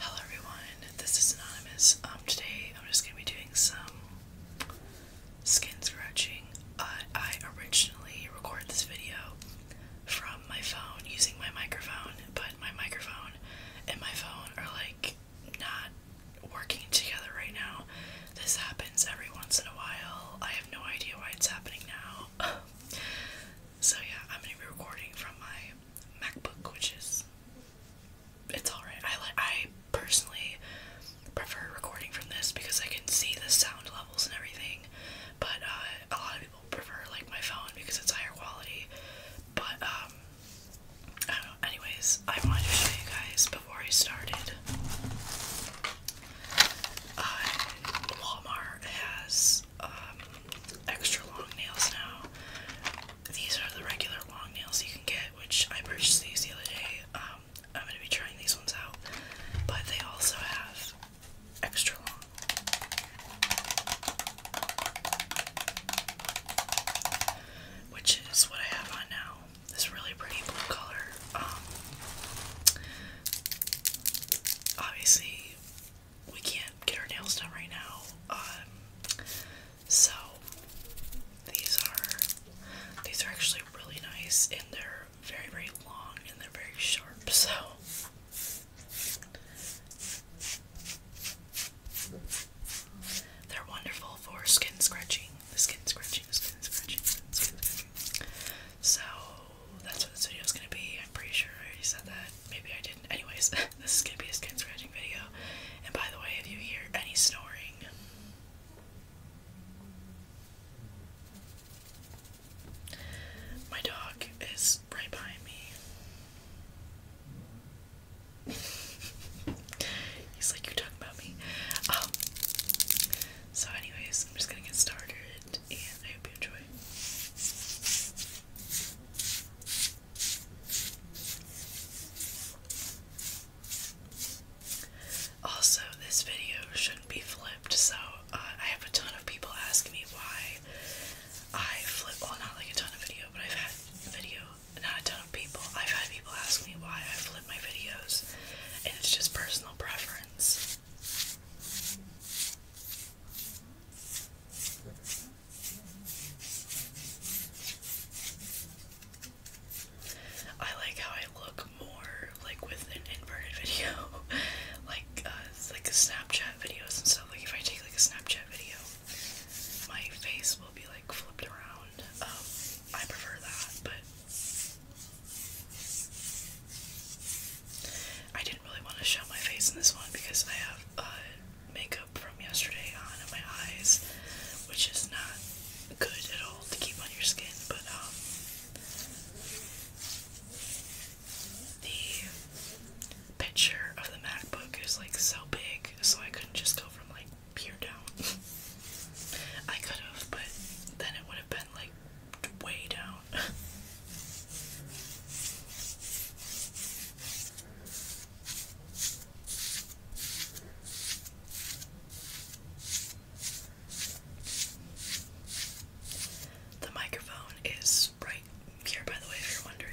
Hello everyone, this is Anonymous. Um, today I'm just going to be doing some skin scratching. I originally recorded this video from my phone using my microphone, but my microphone and my phone are like not working together right now. This happens every once in a while. I have no idea why it's happening now. so yeah, I'm gonna be recording from my MacBook, which is it's alright. I like I personally prefer recording from this because I can see the sound levels and everything. But uh, a lot of people prefer like my phone because it's higher quality. But um uh, anyways, I wanted to show you guys before I started. Uh, Walmart has um, extra long nails now. These are the regular long nails you can get, which I purchased these the other day. Um, I'm going to be trying these ones out. But they also have extra long. Which is what I have on now this really pretty blue color. Um, obviously, we can't get our nails done right now. Um, so these are these are actually really nice, and they're very very long and they're very sharp. So. They're wonderful for skin scratching the skin scratching, the skin scratching, the skin scratching. So that's what this video is gonna be. I'm pretty sure I already said that. Maybe I didn't. Anyways, this is gonna be a skin scratching video. And by the way, if you hear any snoring, my dog is right behind me. He's like, You're talking about me. Um, so, anyways, I'm just gonna get started and I hope you enjoy. Also, this video shouldn't be flipped, so uh, I have a ton of people asking me why I flip. Well, not like a ton of video, but I've had video not a ton of people. I've had people ask me why I flip my videos, and it's just personal preference. I like how I look more like with an inverted video, like uh, like Snapchat videos and stuff. Like if I take like a Snapchat video, my face will be like flipped around. Um, I prefer that, but I didn't really want to show my face in this one because I have uh, makeup from yesterday on in my eyes, which is not good at all to keep on your skin, but um, the picture of the MacBook is like so big, so I couldn't just go from like peer down. I could have, but then it would have been like way down. The microphone is right here, by the way, if you're wondering.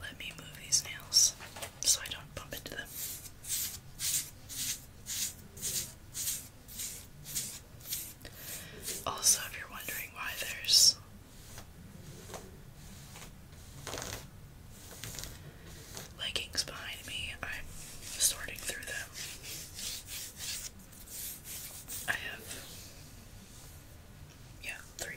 Let me move these nails so I don't bump into them. Also, if you're wondering why there's leggings behind me, I'm sorting through them. I have, yeah, three.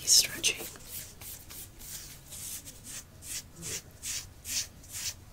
He's stretching.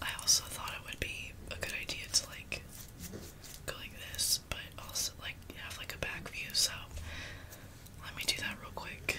I also thought it would be a good idea to like go like this, but also like have like a back view, so let me do that real quick.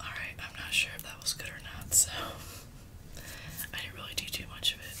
Alright, I'm not sure if that was good or not, so I didn't really do too much of it.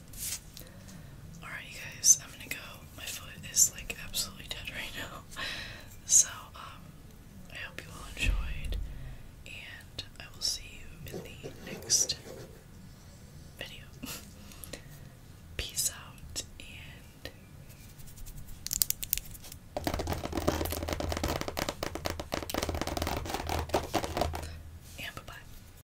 Alright, you guys, I'm gonna go. My foot is like absolutely dead right now. So, um, I hope you all enjoyed, and I will see you in the next video. Peace out, and and bye bye.